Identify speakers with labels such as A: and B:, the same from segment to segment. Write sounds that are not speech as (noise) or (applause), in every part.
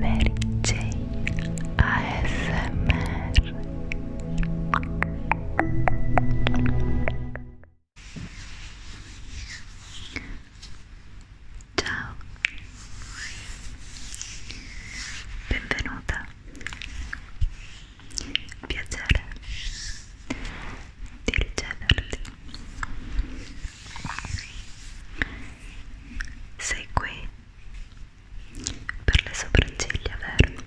A: Mary Jane ASMR Ciao Benvenuta Piacere di riceverti sei qui per le sopracciglia, vero?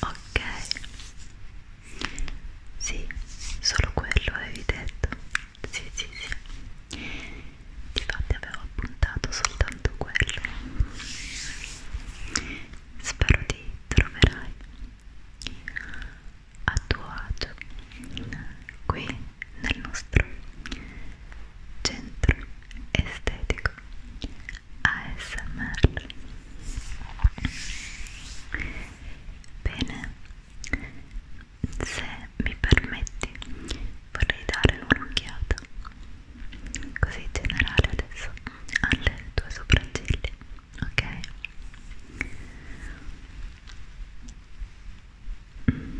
A: Ok. Sì, solo quello avevi detto. Sì, sì, sì. Difatti avevo appuntato soltanto quello. Spero ti troverai a tuo agio qui nel nostro centro estetico ASMR bene se mi permetti vorrei dare un'occhiata così generale adesso alle tue sopracciglia ok mm.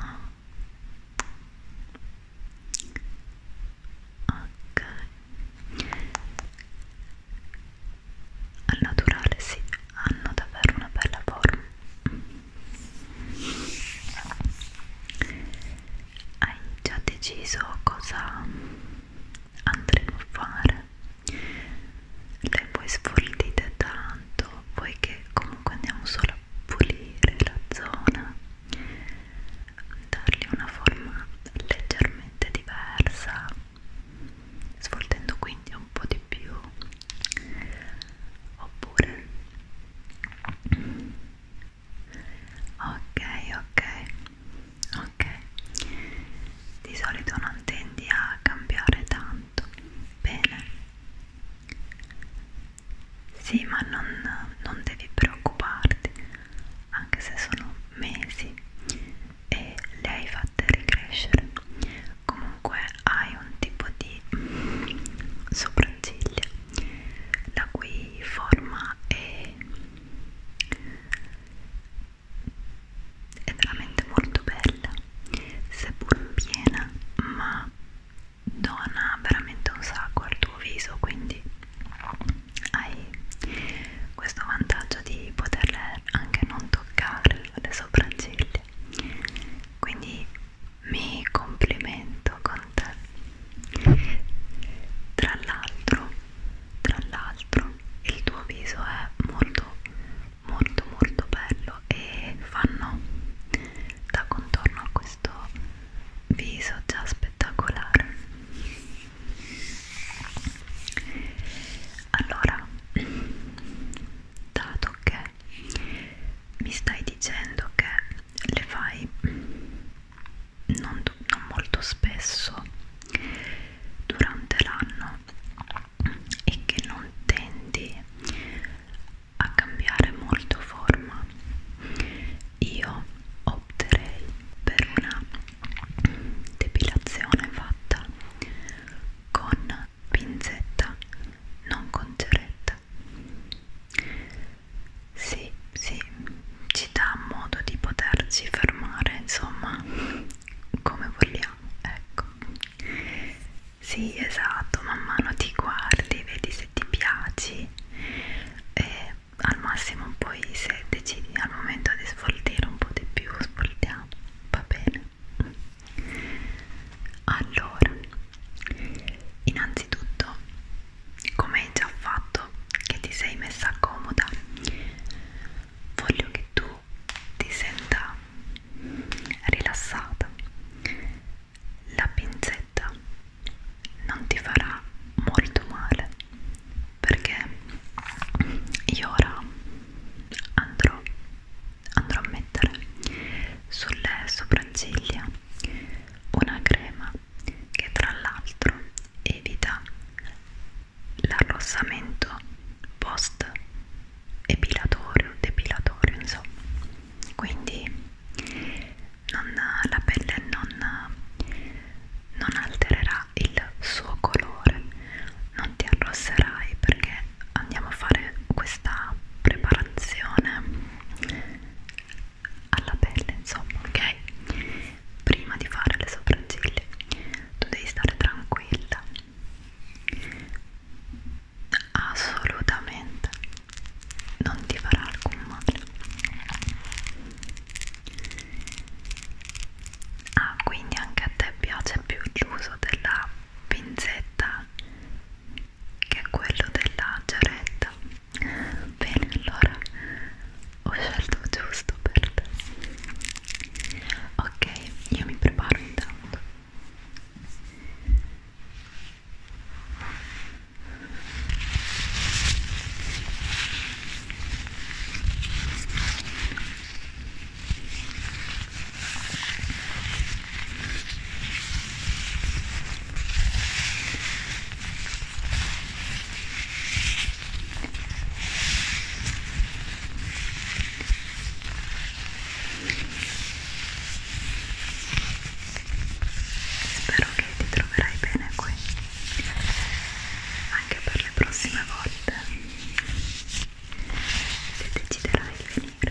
A: oh. ok al naturale sì hanno davvero una bella forma hai già deciso cosa andremo a fare le poi sfoltite tanto poiché comunque andiamo solo a pulire la zona dargli una forma leggermente diversa sfoltendo quindi un po' di più oppure ok ok ok di solito non tendi a cambiare tanto bene sì ma non, non devi preoccuparti anche se sono mesi e le hai fatte ricrescere comunque hai un tipo di sopracciglia la cui forma è, è veramente molto bella seppur piena ma dona veramente un sacco al tuo viso quindi hai questo vantaggio di poterle anche non toccare le sopracciglia quindi mi complimento con te. Tra l'altro, tra l'altro, il tuo viso è molto, molto, molto bello e fanno da contorno a questo viso già spettacolare. Allora, dato che mi stai dicendo che le fai non, non molto spesso durante l'anno e che non tendi a cambiare molto forma io opterei per una depilazione fatta con pinzetta non con ceretta vita. Sì, sì, ci dà modo di poterci fermare, insomma, come vogliamo, ecco. Sì, esatto, man mano ti guardi, vedi se ti piaci e al massimo poi se decidi al momento di svoltare un po' di più, svoltiamo, va bene. Allora, innanzitutto come hai già fatto che ti sei messa comoda voglio che tu ti senta rilassata la pinzetta non ti farà molto male perché io ora andrò andrò a mettere sulle sopracciglia una crema che tra l'altro evita l'arrossamento post epilatorio, depilatorio insomma quindi non, la pelle non, non altererà il suo colore non ti arrosserai perché andiamo a fare questa preparazione alla pelle insomma ok prima di fare le sopracciglia tu devi stare tranquilla assolutamente non ti farà alcun male ah quindi anche a te piace più l'uso della pinzetta che è quello della giaretta bene allora ho scelto giusto per te ok io mi preparo intanto ok Spero che ti troverai bene qui anche per le prossime volte se deciderai di venire.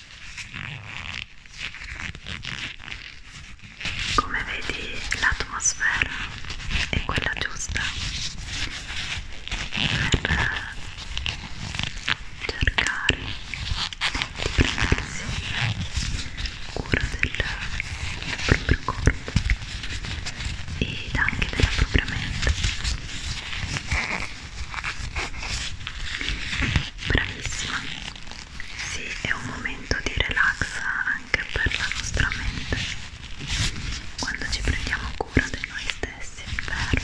A: Come vedi l'atmosfera è quella giusta per cercare di prendersi cura del, del proprio corpo ed anche della propria mente Bravissima. Sì, è un momento di relax anche per la nostra mente. Quando ci prendiamo cura di noi stessi, vero?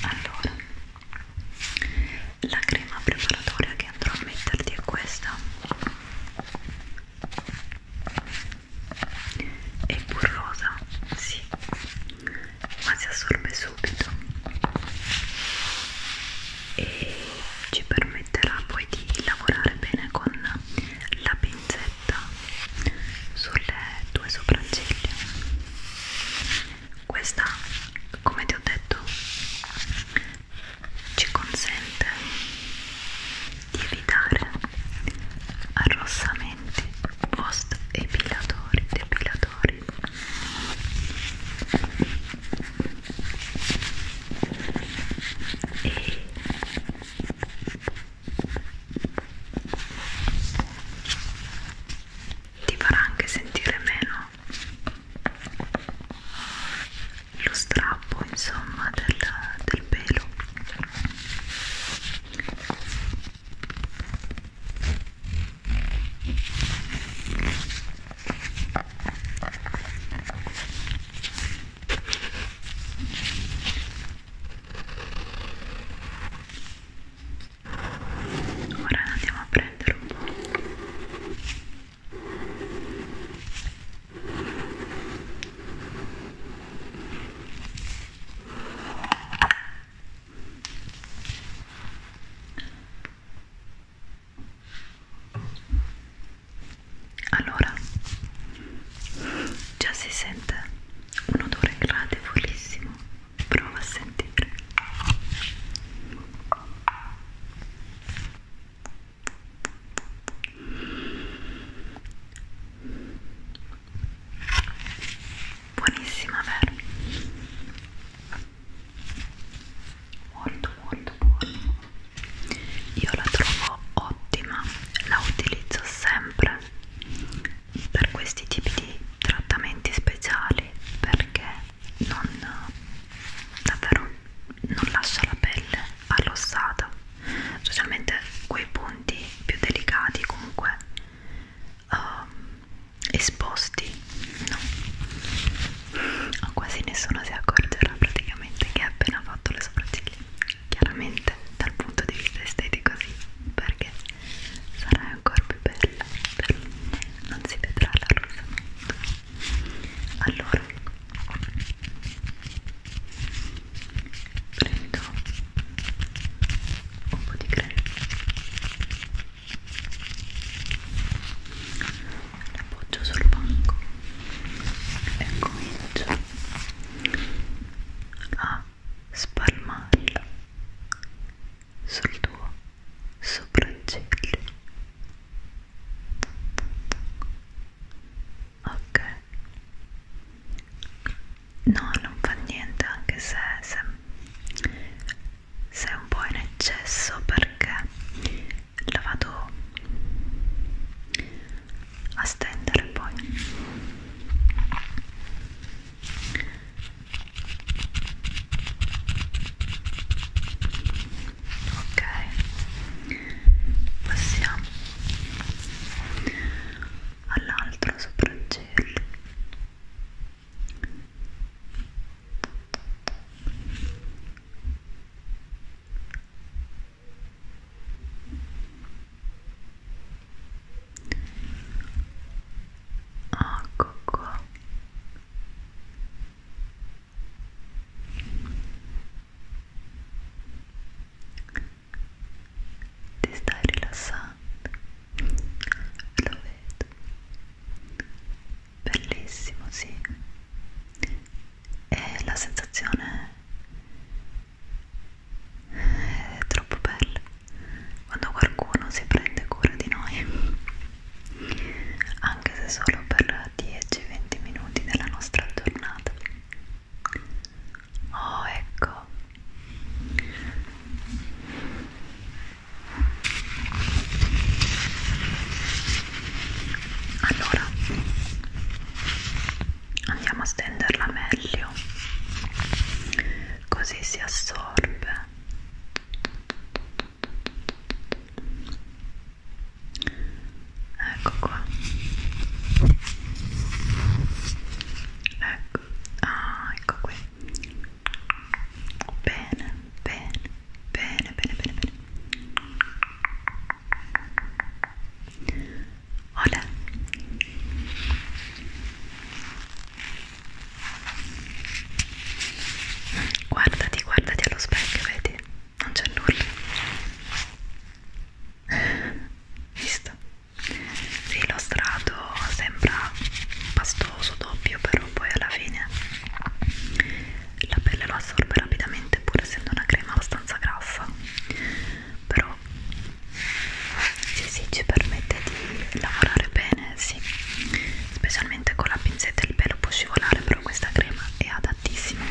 A: Allora, la crema preparatoria che andrò a metterti è questa. È burrosa, sì ma si assorbe subito e ci permetterà poi di lavorare bene con la pinzetta sulle due sopracciglia questa come ti ho detto ci consente di evitare arrossamenti solamente post epilatori depilatori e ti farà anche sentire meno lo strappo insomma del, del pelo Ora andiamo a prendere un po'. Allora, già si sente un odore gradevolissimo, prova a sentire buonissima vero? molto molto buona io la trovo ottima la utilizzo sempre per questi tipi di trattamenti speciali perché non davvero non lascia la pelle allossata specialmente quei punti più delicati comunque um, esposti no? quasi nessuno si accorgerà praticamente che ha appena fatto le sopracciglia chiaramente dal punto di vista estetico sì perché sarai ancora più bella però non si vedrà la rosa allora prendo un po' di crema l'appoggio sul banco e comincio a spalmarla sul tuo sopracciglio ok no non fa niente anche se, se, se è un po' in eccesso perché la vado a stendere poi ok passiamo all'altro sopra il gel ecco qua ti stai rilassando lo vedo bellissimo sì e la sensazione è troppo bella quando qualcuno si prende cura di noi anche se solo per 10-20 minuti della nostra giornata oh ecco allora andiamo a stenderla meglio così si assorbe ecco qua ecco ah ecco qui bene bene bene bene bene bene Olè guardati guardati allo specchio vedi non c'è nulla (laughs) visto? Sì, lo strato sembra pastoso, doppio, però poi alla fine la pelle lo assorbe rapidamente pur essendo una crema abbastanza grassa però sì, sì, ci permette di lavorare bene, sì specialmente con la pinzetta il pelo può scivolare però questa crema è adattissima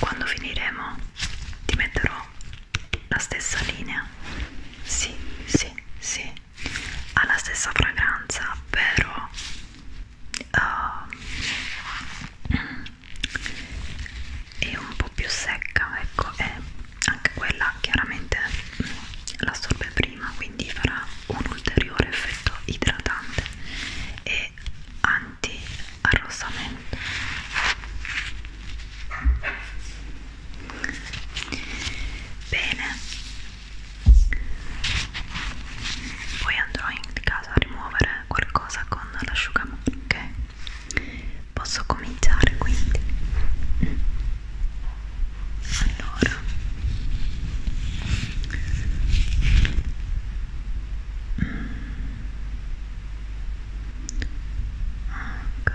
A: quando finiremo ti metterò la stessa linea sì sì sì ha la stessa fragranza però uh, è un po' più secca ecco e anche quella chiaramente mm, l'assorbe prima quindi farà un ulteriore effetto idratante e anti arrossamento bene poi andrò in casa a rimuovere qualcosa con l'asciugamano ok posso cominciare quindi allora mm. ok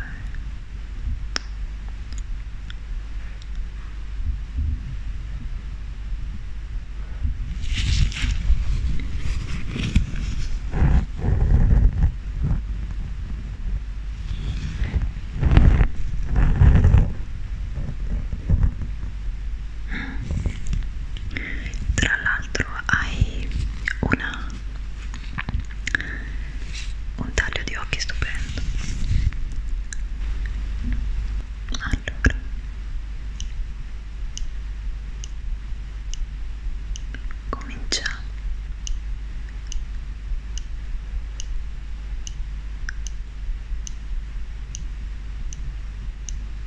A: tra l'altro hai una un taglio di occhi stupendo allora cominciamo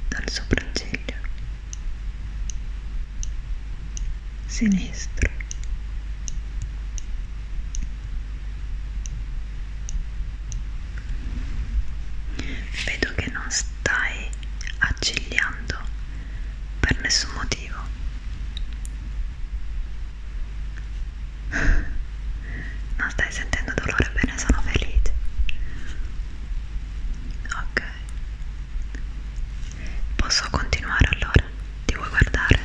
A: dal sopracciglio sinistro vedo che non stai accigliando per nessun motivo non stai sentendo dolore bene sono felice ok Posso continuare allora? Ti vuoi guardare?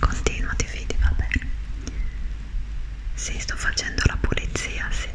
A: Continua, ti fidi, va bene. Sì, sto facendo la pulizia, sì.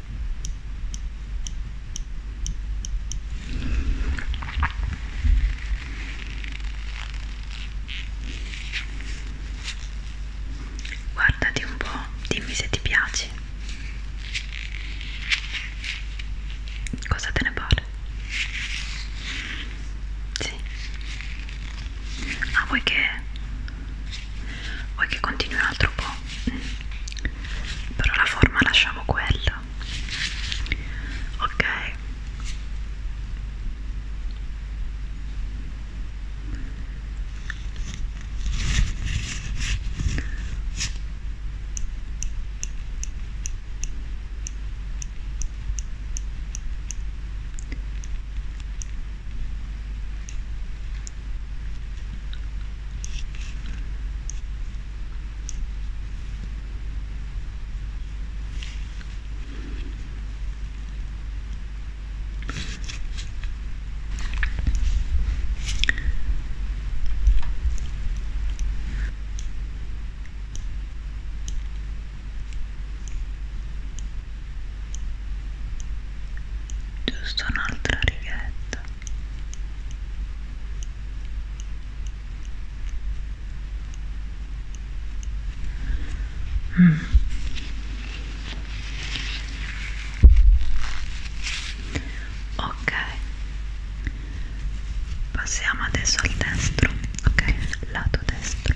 A: Guardati un po', dimmi se ti piace. Cosa te ne pare? Sì. Ah, vuoi che... vuoi che continui un altro po'? però la forma lasciamo quella ok giusto un'altra righetta Mm. Ok, passiamo adesso al destro, ok, lato destro.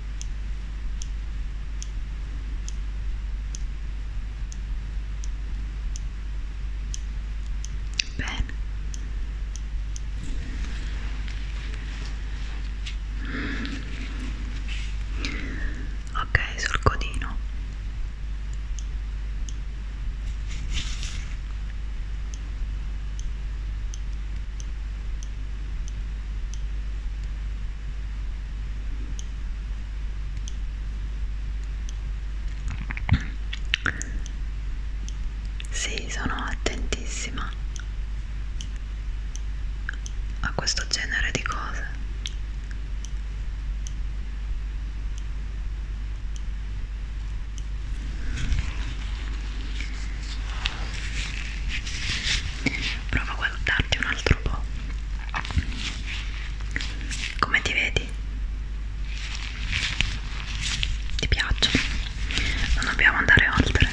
A: Bene. Ok, sul codino. Sì, sono attentissima a questo genere di cose prova a guardarti un altro po' come ti vedi? ti piaccio? non dobbiamo andare oltre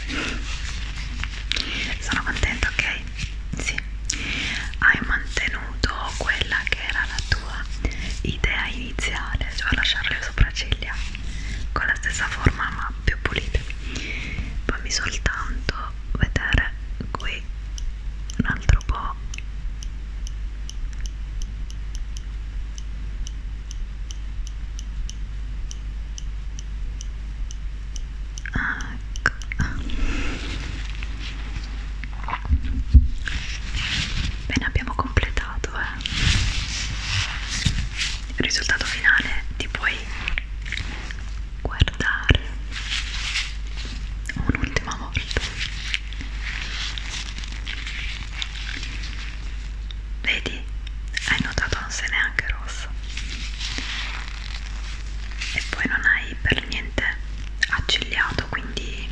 A: sono contenta ok? sì hai mantenuto quella che era la tua idea iniziale cioè lasciare le sopracciglia con la stessa forma ma più pulite poi mi soltanto vedere qui un altro po' ecco bene abbiamo completato eh. il risultato finale ti puoi guardare un'ultima volta vedi hai notato non sei neanche rossa e poi non hai per niente accigliato quindi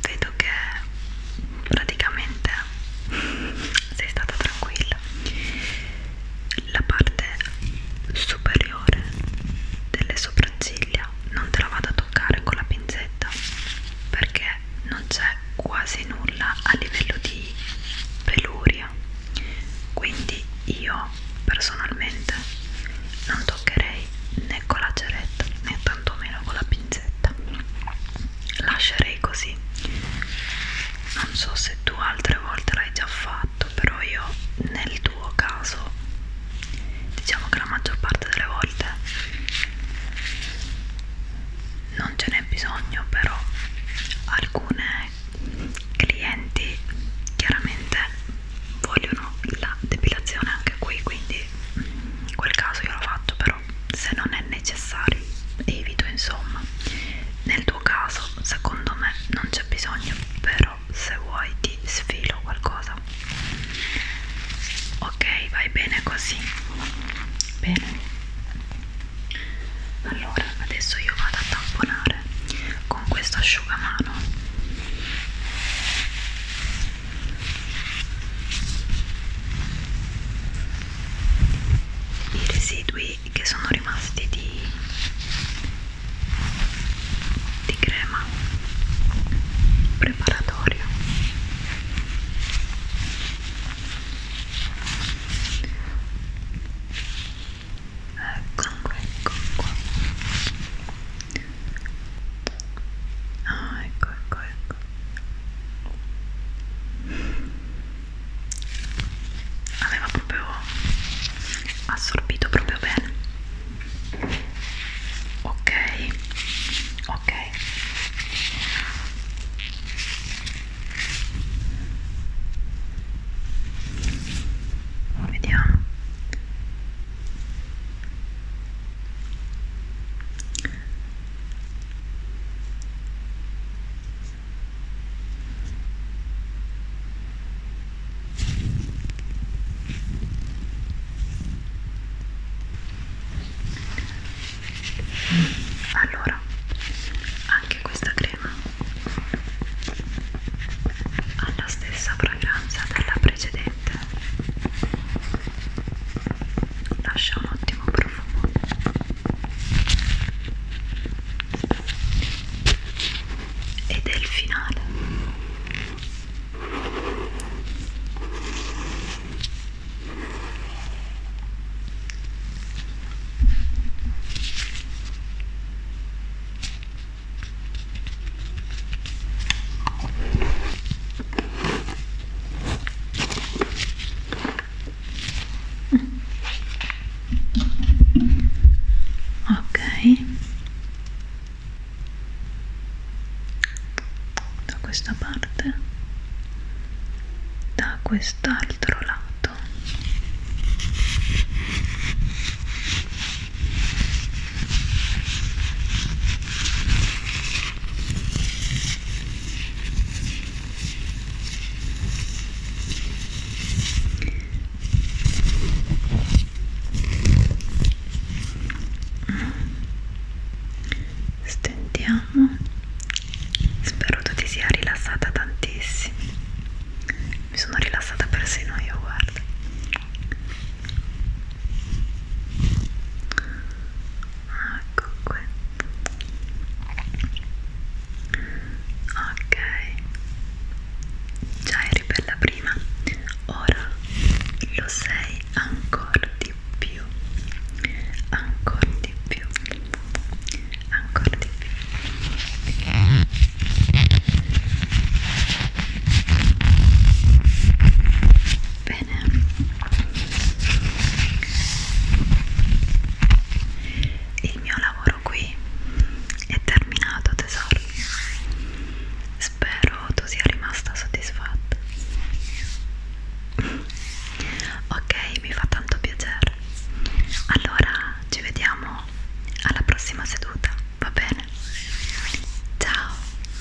A: vedo che praticamente sei stata tranquilla la parte superiore delle sopracciglia non te la vado a toccare con la pinzetta perché non c'è quasi nulla a livello di peluria quindi io personalmente non toccherei né con la ceretta né tantomeno con la pinzetta lascerei così non so se tu altre volte l'hai già fatto però io nel tuo caso diciamo che la maggior parte delle volte non ce n'è bisogno però alcune clienti chiaramente vogliono la depilazione anche qui quindi mm, in quel caso io la faccio però se non è necessario, evito insomma. Nel tuo caso, secondo me, non c'è bisogno, però se vuoi ti sfilo qualcosa. Ok, vai bene così. Bene. Allora, adesso io vado a tamponare con questo asciugamano. I residui pochi che sono rimasti di, di crema preparatoria eccolo qua ecco qua ecco, ecco. ah ecco ecco ecco aveva proprio assorbito proprio bene ok ok vediamo allora, anche questa crema ha la stessa fragranza della precedente. Lascia un ottimo profumo ed è il finale ok da questa parte da quest'altro lato Stendiamo. Spero tu ti sia rilassata tantissimo. Mi sono rilassata persino io, guarda ecco ah, qui ok già eri bella prima ora lo sei ancora di più ancora di più ancora di più bene il mio lavoro qui è terminato tesoro spero tu sia rimasta soddisfatta ok mi fa tanto piacere allora ci vediamo alla prossima seduta va bene ciao